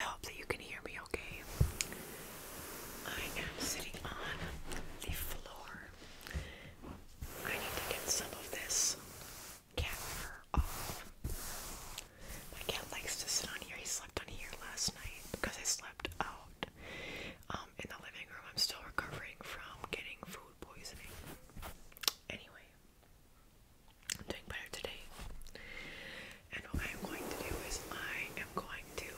I hope that you can hear me okay. I am sitting on the floor. I need to get some of this cat fur off. My cat likes to sit on here. He slept on here last night because I slept out um, in the living room. I'm still recovering from getting food poisoning. Anyway, I'm doing better today. And what I'm going to do is I am going to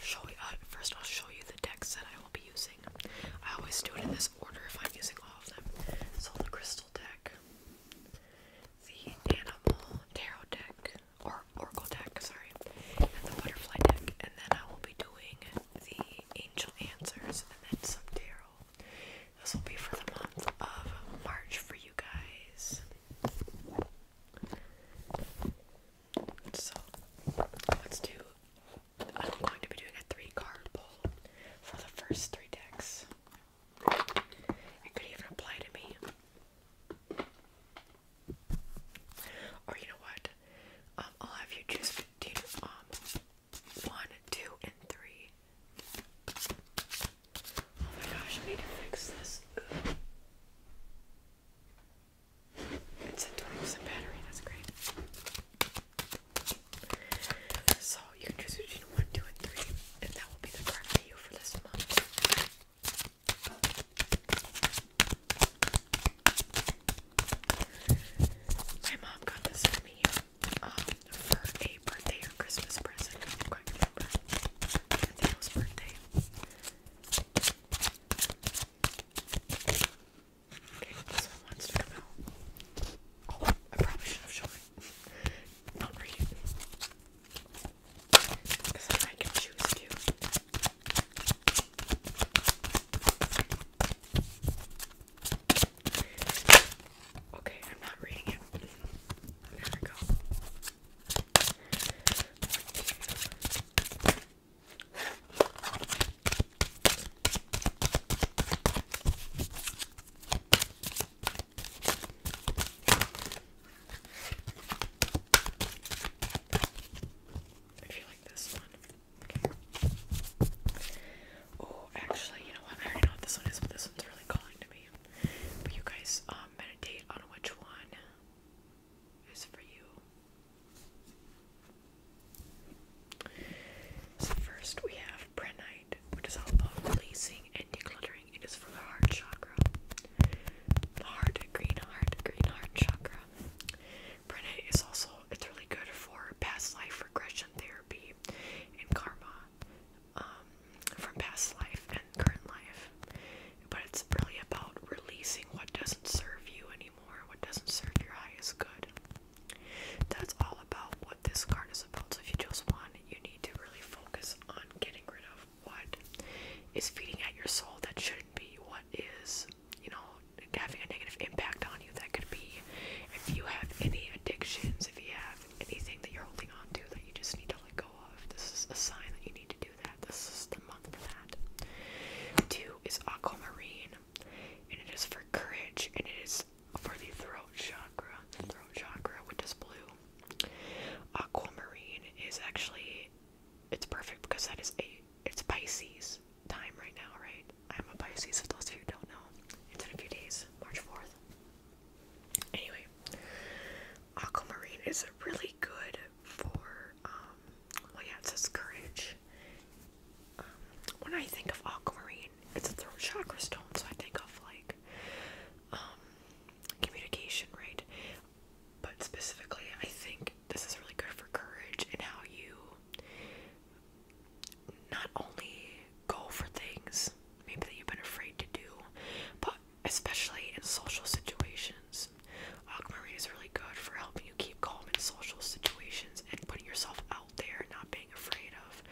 show you uh, first I'll show you the decks that I will be using. I always do it in this order if I'm using all of them. So the crystal deck, the animal tarot deck or oracle deck, sorry, and the butterfly deck, and then I will be doing the angel answers and then some tarot this will be for the month of March for you guys. So let's do. I'm going to be doing a three card pull for the first three decks. It could even apply to me. Or you know what? Um, I'll have you choose. Um, one, two, and three. Oh my gosh, I need to fix this. It's at 20% battery, that's great. So you can choose between one, two, and three, and that will be the card for you for this month. My mom got this for me um, for a birthday or Christmas present. I don't birthday. Okay, this one wants to come out. Oh, I probably should have shown it. Not read Because I can choose to. Okay, I'm not reading it. There we go. I feel like this one. Oh, actually, you know what? I already know what this one is, but this one's really calling to me. But you guys um, meditate on which one is for you. So, first we have Prenite, which is all about releasing and decluttering. It is for the heart chakra. The heart, green heart, green heart chakra. Brenet is also it's really good for past life regression therapy and karma um, from past life and current life. But it's really about releasing what doesn't serve you anymore, what doesn't serve your highest good. That's all about what this card is about. So if you chose one, you need to really focus on getting rid of what is feeding at your soul that shouldn't be, what is you know, having a negative impact on you. That could be if you have any addictions, if you have anything that you're holding on to that you just need to let go of. This is a sign that you need to do that. This is the month for that. Two is aquamarine, and it is for courage, and it is for the throat chakra. The throat chakra, which is blue. Aquamarine is actually it's perfect because that is a it's Pisces time right now, right? I'm a Pisces, for those of you don't know. It's in a few days, March 4th. Anyway, aquamarine is really good for, um, well, yeah, it says courage. Um, when I think of aquamarine, it's a throat chakra stone, so I think of like, um, communication, right? But specifically, I think this is really good for courage and how you not only go for things maybe that you've been afraid to do, but especially in social situations. Aquamarine uh, is really good for helping you keep calm in social situations and putting yourself out there, not being afraid of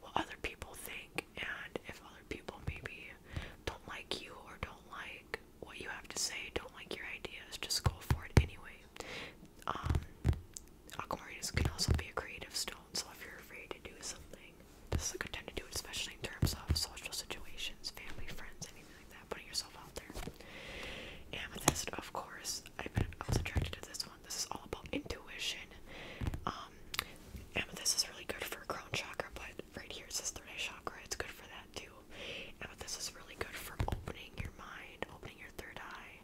what other people think. And if other people maybe don't like you or don't like what you have to say, don't like your ideas, just go for it anyway. Um, Aquarius can also be a creative stone, so if you're afraid to do something, this is a good time to do it, especially in terms of social situations, family, friends, anything like that, putting yourself out there. Amethyst, of course, I, have been, I was attracted to this one. This is all about intuition. Um, amethyst is really good for crown chakra, but right here it says third eye chakra. It's good for that too. Amethyst is really good for opening your mind, opening your third eye,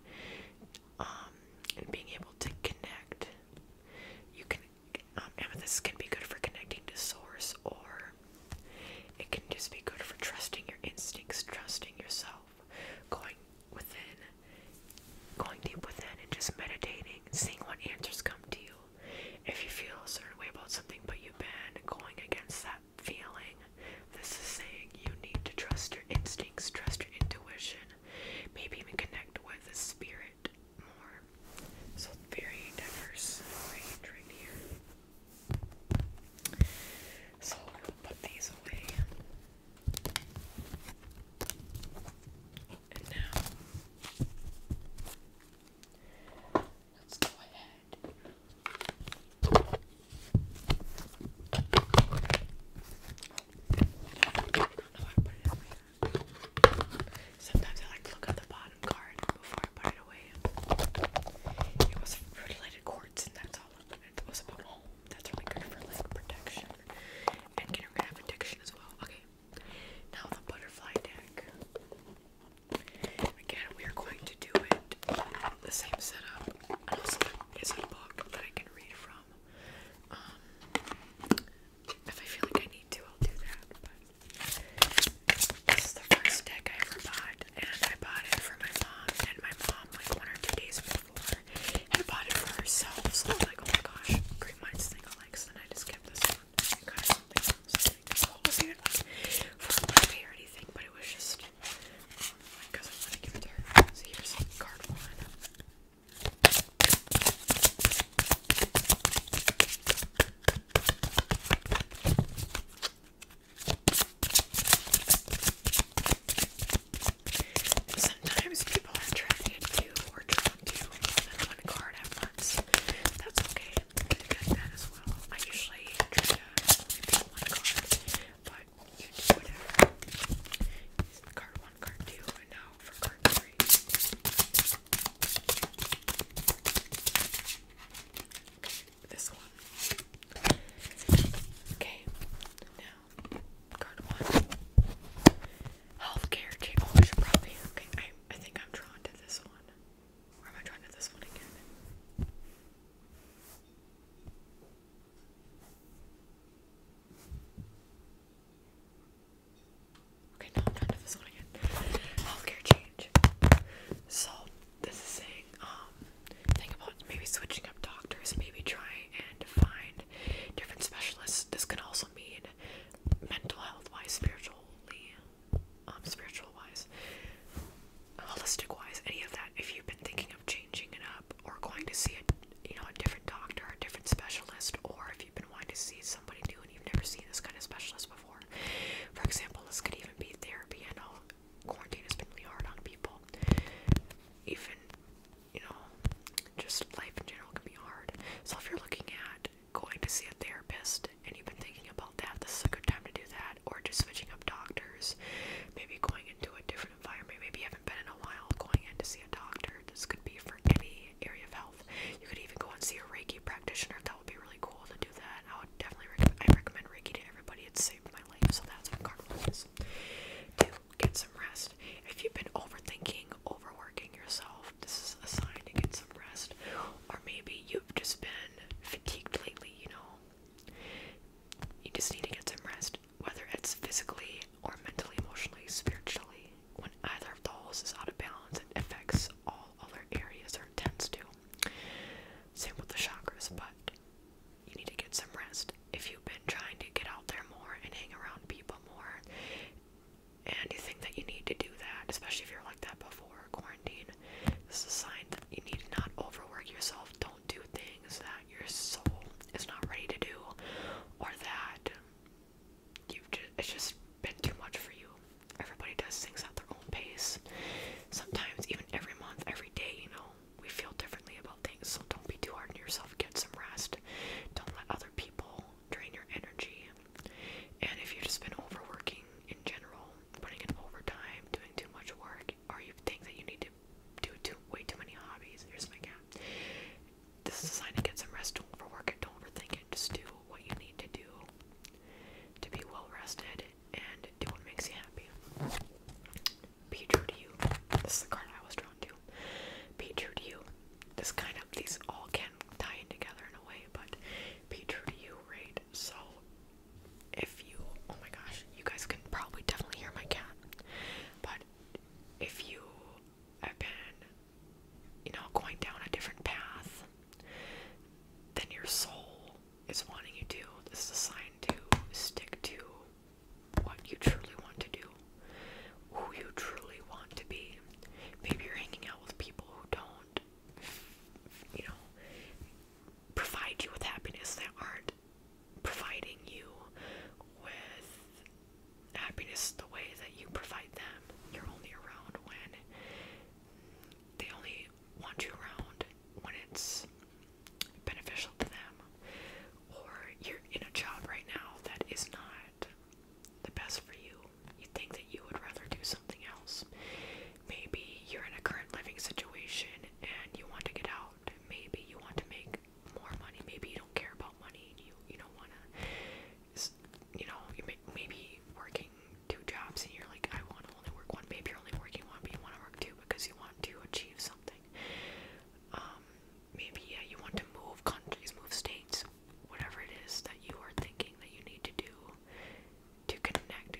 um, and being able to connect. You can um, amethyst can be good for connecting to source, or it can just be good for trusting your instincts, trusting yourself, going within, going deep within, and just meditating, seeing what answers come to you. If you feel a certain way about something, but you've been going against that feeling. This is saying you need to trust your instincts, trust your intuition, maybe even connect with the spirit more. So, very diverse range right here. So, we'll put these away. And now, let's go ahead I like Sometimes I like to look at the bottom card before I put it away. It was food quartz and that's all it was about home. Oh, that's really good for like protection and getting rid as well. Okay. Now the butterfly deck. Again, we are going to do it the same setup. And also, it's a book that I can read from. Um, if I feel like I need to, I'll do that. this is the first deck I ever bought, and I bought it for my mom. And my mom, like one or two days before, had bought it for herself. So I was like, oh my gosh, great minds think alike. So then I just kept this one. I got something else. Like, this whole was for a or anything, but it was just Sometimes people are attracted to or drawn to more one card at once. That's okay. I get that as well. I usually try to only pick one card, but card one, card two, and now for card three. Okay, this one. Okay, now card one. Healthcare Oh, I should probably. Okay, I, I think I'm drawn to this one. Or am I drawn to this one again? Okay, now I'm trying to this one again. Healthcare change. So this is saying, um, think about maybe switching up doctors, maybe trying and find different specialists. This can also mean mental health wise, spiritually, um, spiritual wise, holistic wise, any of that. If you've been thinking of changing changing it up or going to see a you know a different doctor, a different specialist, or if you've been wanting to see somebody new and you've never seen this kind of specialist before. For example, this could even be therapy. I know quarantine has been really hard on people. Even you know, just life in general can be hard. So if you're looking at going to see a therapist and you've been thinking about that, this is a good time to do that. Or just switching up doctors, maybe going into a different Maybe haven't been in a while going in to see a doctor. This could be for any area of health. You could even go and see a Reiki practitioner. That would be really cool to do that. I would definitely recommend, I recommend Reiki to everybody. It's saved my life. So that's what card one is. Two, get some rest. If you've been overthinking, overworking yourself, this is a sign to get some rest. Or maybe you've just been fatigued lately, you know, you just need to get some rest, whether it's physically or mentally, emotionally, spiritually. When either of those is out of balance, it affects all other areas or tends to. Same with the chakras, but you need to get some rest. If you've been trying to get out there more and hang around people more, and you think that you need to do that, especially if you're like that before quarantine, this is a sign that you need to not overwork yourself. Don't don't do things that your soul is not ready to do or that you've just, it's just been too much for you. Everybody does things at their own pace. Sometimes, even every month, every day, you know, we feel differently about things. So don't be too hard on yourself. Get some rest. Don't let other people drain your energy. And if you've just been overworking in general, putting in overtime, doing too much work, or you think that you need to do too way too many hobbies. Here's my cat. This is a sign to get some rest. Don't overwork it. Don't overthink it. Just do what you need to do to be well rested and do what makes you happy. Be true to you. This is the card I was drawn to. Be true to you. This kind of these all can tie in together in a way, but be true to you, right? So if you oh my gosh, you guys can probably definitely hear my cat. But if you have been, you know, going down a different path, than your soul is wanting you to. This is a sign to stick to what you truly want to do, who you truly want to be. Maybe you're hanging out with people who don't, you know, provide you with happiness that aren't providing you with happiness the way that you provide them. You're only around when they only want you around when it's beneficial to them. Or you're in a job right now that is not the best for you. You think that you would rather do something else. Maybe you're in a current living situation and you want to get out out. Maybe you want to make more money. Maybe you don't care about money. And you you don't want to. You know, you may, maybe working two jobs and you're like, I want to only work one. Maybe you're only working one, but you want to work two because you want to achieve something. Um, maybe yeah, you want to move countries, move states, whatever it is that you are thinking that you need to do to connect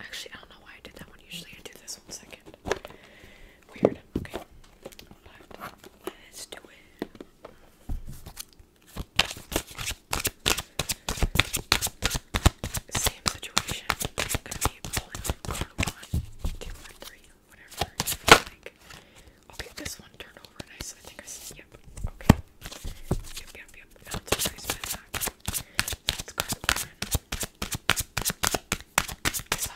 Actually, I don't know why I did that one. Usually I do this one second. Weird. Okay. let's do it. Same situation. i whatever I'll get this one turned over and I, think I said, yep, okay. Yep, yep, yep. That's a nice back. That's cardboard.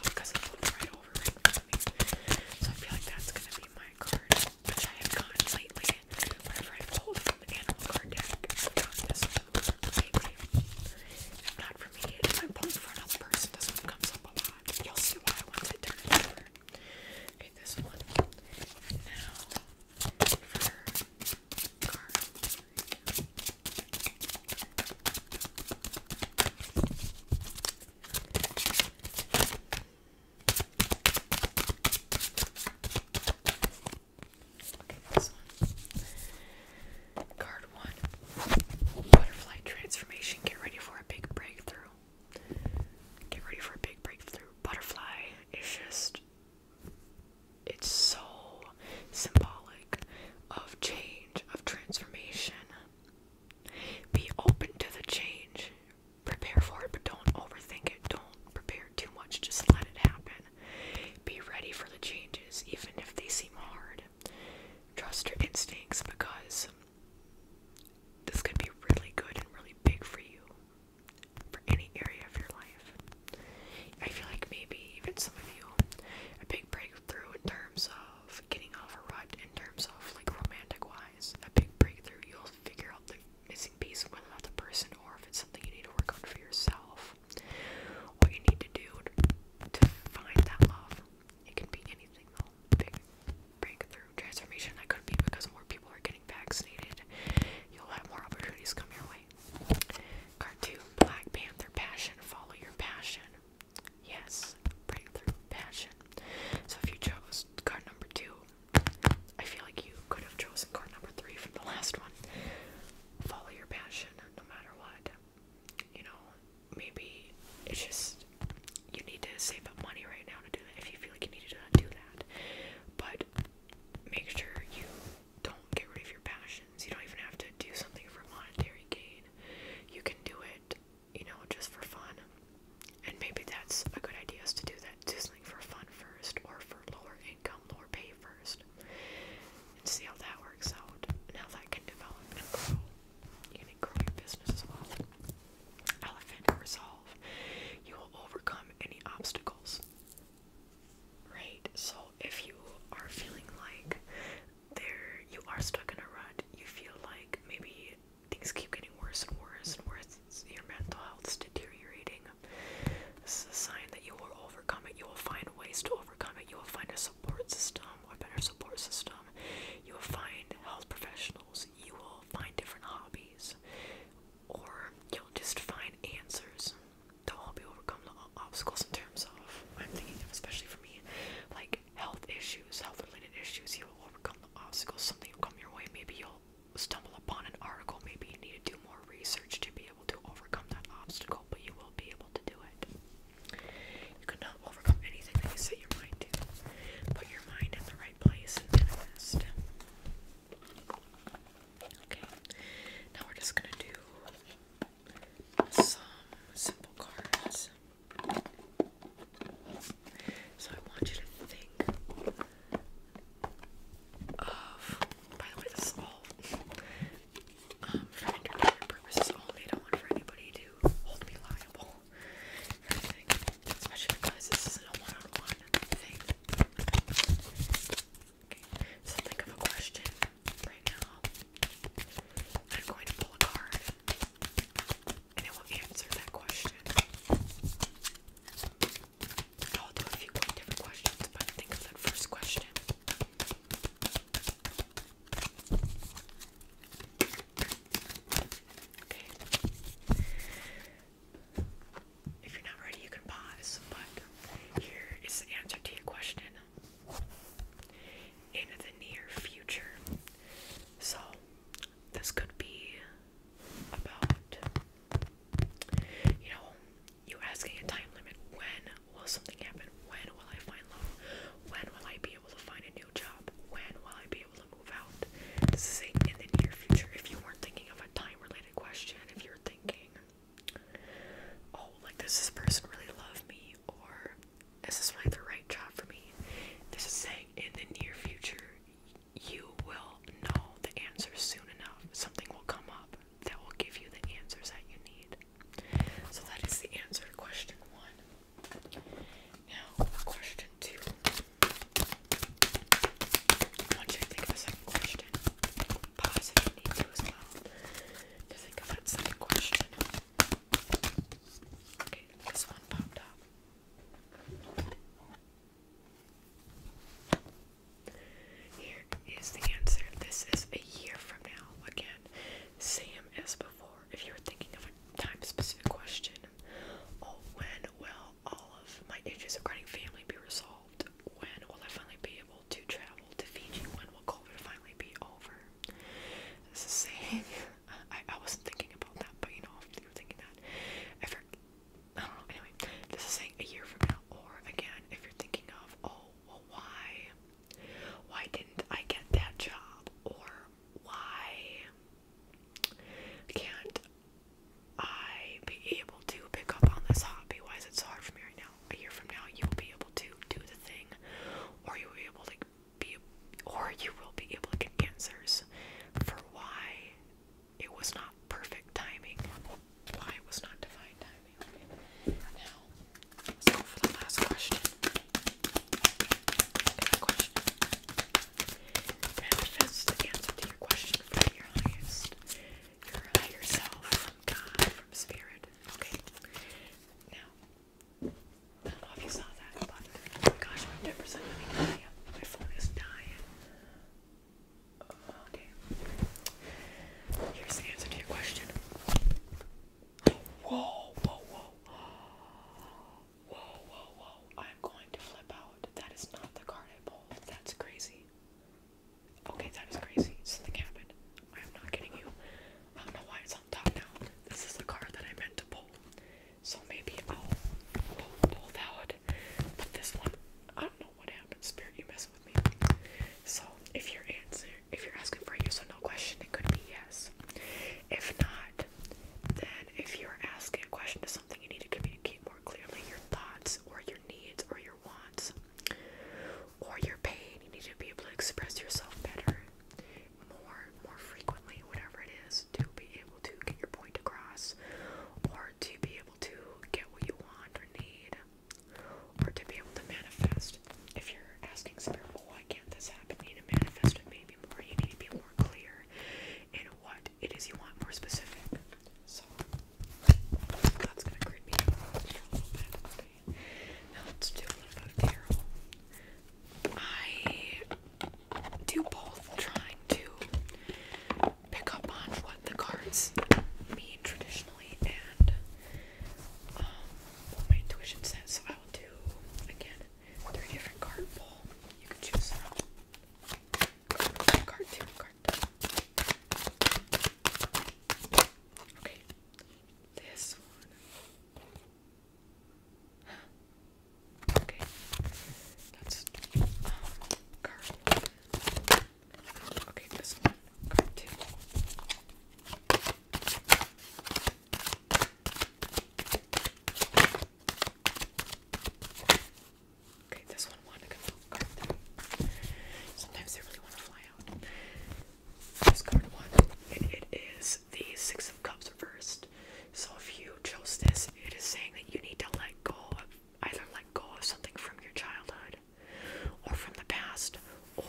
because it flipped right over So I feel like that's gonna be my card, which I have gotten lately. Whenever I pulled the animal card deck, this one lately. not for me, if I'm pulling for another person, this one comes up a lot. You'll see why once I turn it over. Okay, this one. now Card one. Butterfly transformation. Get ready for a big breakthrough. Get ready for a big breakthrough. Butterfly It's just it's so symbolic of change, of transformation. Be open to the change. Prepare for it, but don't overthink it. Don't prepare too much. Just let it happen. Be ready for the changes, even if they seem hard. Trust your instincts because this could be really good and really big for you for any area of your life. I feel like maybe even some of you a big breakthrough in terms of getting off a rut in terms of like romantic wise. A big breakthrough you'll figure out the missing piece whether that's the person or if it's something you need to work on for yourself. What you need to do to find that love. It can be anything though. Big breakthrough transformation that could be because more people are getting vaccinated. You'll have more opportunities come your way why. Cartoon Black Panther Passion. Follow your passion. Yes, breakthrough passion. So if you chose card number two, I feel like you could have chosen card number three from the last one. Follow your passion no matter what. You know, maybe it's just you need to save up money right now to do that if you feel like you need to do that. But make sure you don't get rid of your passions. You don't even have to do something for monetary gain. You can do it, you know, just for fun. And maybe that's a good idea is to do that. Do something for fun first or for lower income, lower pay first. And see how that works out and how that can develop and grow. You can grow your business as well. Elephant resolve. You will overcome any obstacles. Right, so if you are feeling like there you are stuck in a rut, you feel like maybe things keep getting worse and worse and worse, your mental health is deteriorating. This is a sign that you will overcome it, you will find ways to overcome it, you will find a support system, a better support system, you will find health professionals, you will find different hobbies, or you'll just find answers to help you overcome the obstacles in terms of I'm thinking of especially for me like health issues, health related issues, you will overcome the obstacles, something will come your way, maybe you'll stumble upon an article, maybe you need to do more research to be able to overcome that obstacle, but you will be able to do it. You cannot overcome anything that you set your mind to. Put your mind in the right place and manifest. Okay, now we're just gonna do some simple cards. So I want you to think of. By the way, this is all um, for entertainment purposes only. I don't want for anybody to hold me liable especially because this is a one -on -one thing so think of a question right now. I'm going to pull a card and it will answer that question. I'll do a few different questions, think of that first question. Okay. If you're not ready, you can pause, but here is the answer to your question. In the near future. So, this could be about, you know, you asking a time limit when will something happen? When will I find love? When will I be able to find a new job? When will I be able to move out? This is in the near future. If you weren't thinking of a time related question, if you're thinking, oh, like, does this person really love me? Or is this like the right job for me? This is saying in the near future, you will know the answer soon enough. Something will come up that will give you the answers that you need. So that is the answer to question one. Now, question two want to think of a second question. Pause if you need to as well. To think of that second question. Okay, this one popped up. Here is the answer. This is a year from now. Again, same as before. If you were thinking of a time specific question, oh, when will all of my issues regarding family be resolved? When will I finally be able to travel to Fiji? When will COVID finally be over? This is saying, I, I wasn't thinking about that, but you know, if you're thinking that, I don't know, anyway, this is saying a year from now, or again, if you're thinking of, oh, why, why didn't I get that job, or why can't I be able to pick up on this hobby? Why is it so hard for me right now? A year from now, you will be able to do the thing, or you will be able to be, or you will be able to get answers for why it was not perfect timing, why it was not defined timing. Now, let's go for the last question. Okay, question. the answer to your question from your highest your higher self, from God, from spirit. Okay. Now, I don't know if you saw that, but gosh, my percent My phone is dying. Okay. Here's the answer to your question. Whoa, whoa, whoa. Whoa, whoa, whoa. I'm going to flip out. That is not the card I pulled. That's crazy. Okay, that is crazy. It's in I am not kidding you. I don't know why it's on top now. This is the card that I meant to pull. So maybe I'll pull, out. But this one, I don't know what happened. Spirit, you messing with me. So if you're answer, if you're asking for a yes or no question, it could be yes. If not, then if you're asking a question to something you need to communicate more clearly your thoughts or your needs or your wants or your pain. You need to be able to express yourself better, more, more frequently, whatever it is, to be able to get your point across or to be able to get what you want or need or to be able to manifest. If you're asking spirit, well, why can't this happen? You need to manifest it maybe more. You need to be more clear in what it is you want more specific. So that's gonna creep me Okay. Now let's do a little bit of I do both trying to pick up on what the cards mean traditionally and um, what my intuition says. So I will do again three different card pull. You can choose from card two, card Okay, this one. Okay, that's um card one. Okay, this one. Card two. Okay, this one wanted to go through. Sometimes they really want to fly out. This card one, and it is the Six of Cups reversed. So if you chose this, it is saying that you need to let go of either let go of something from your childhood or from the past, or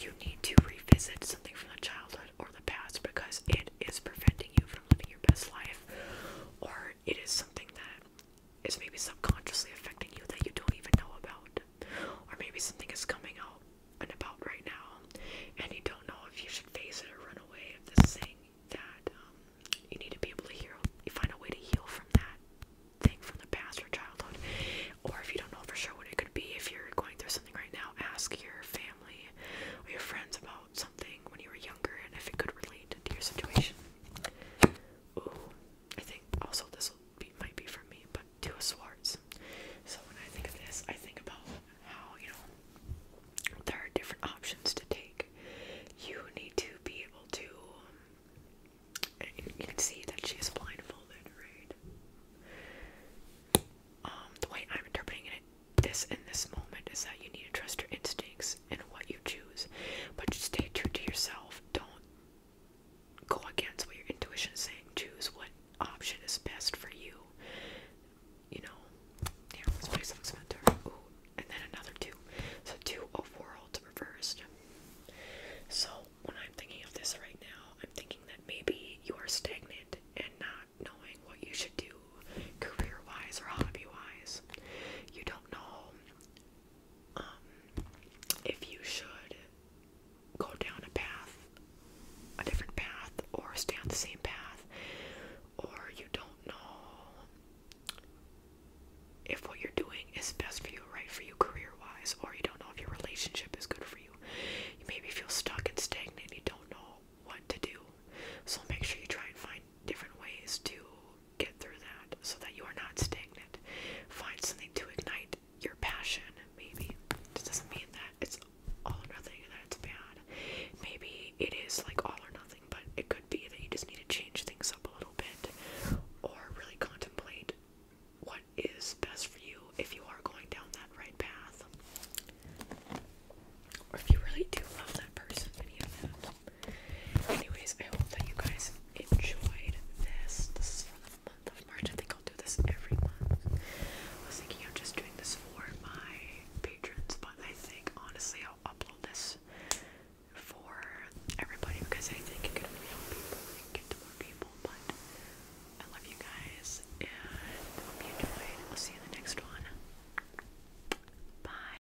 you need to revisit something from the childhood or the past because it is preventing you from living your best life, or it is something that is maybe subconsciously affecting you that you don't even know about. Or maybe something is coming out and about right now and you don't know if you should face it or run away if this thing that um, you need to be able to heal you find a way to heal from that thing from the past or childhood or if you don't know for sure what it could be if you're going through something right now ask your family or your friends about something when you were younger and if it could relate to your situation Ooh, I think also this will be might be for me, but do a So when I think of this, I think about how you know there are different options to take. You need to be able to. Um, you can see that she is blindfolded, Um, the way I'm interpreting it, this in this moment is that you need to trust your instincts and what you choose, but just stay true to yourself. Don't go against what your intuition is saying. Choose what option is best for you. You know, yeah, let's play some Mentor. Ooh, and then another two. So two of worlds reversed. So when I'm thinking of this right now, I'm thinking that maybe you are stagnant and not knowing what you should do career wise or hobby wise. You don't know um, if you should go down a path, a different path, or stay on the same path, or you don't know if what you're doing is best for you, right for you career wise, or you don't know if your relationship is good for you. You maybe feel stuck and stagnant, you don't know what to do. So make sure you try and find different ways to get through that so that you are not stagnant. Find something to ignite your passion, maybe. This doesn't mean that it's all or nothing and that it's bad. Maybe it is like all or nothing, but it could be that you just need to change things up a little bit or really contemplate what is best for you if you are going down that right path. Or if you really do love that person, Anyways, I hope that you guys enjoyed this. This is for the month of March. I think I'll do this every month. I was thinking of just doing this for my patrons, but I think honestly I'll upload this for everybody because I think it could really help people and get to more people. But I love you guys and hope you enjoyed. I'll see you in the next one. Bye.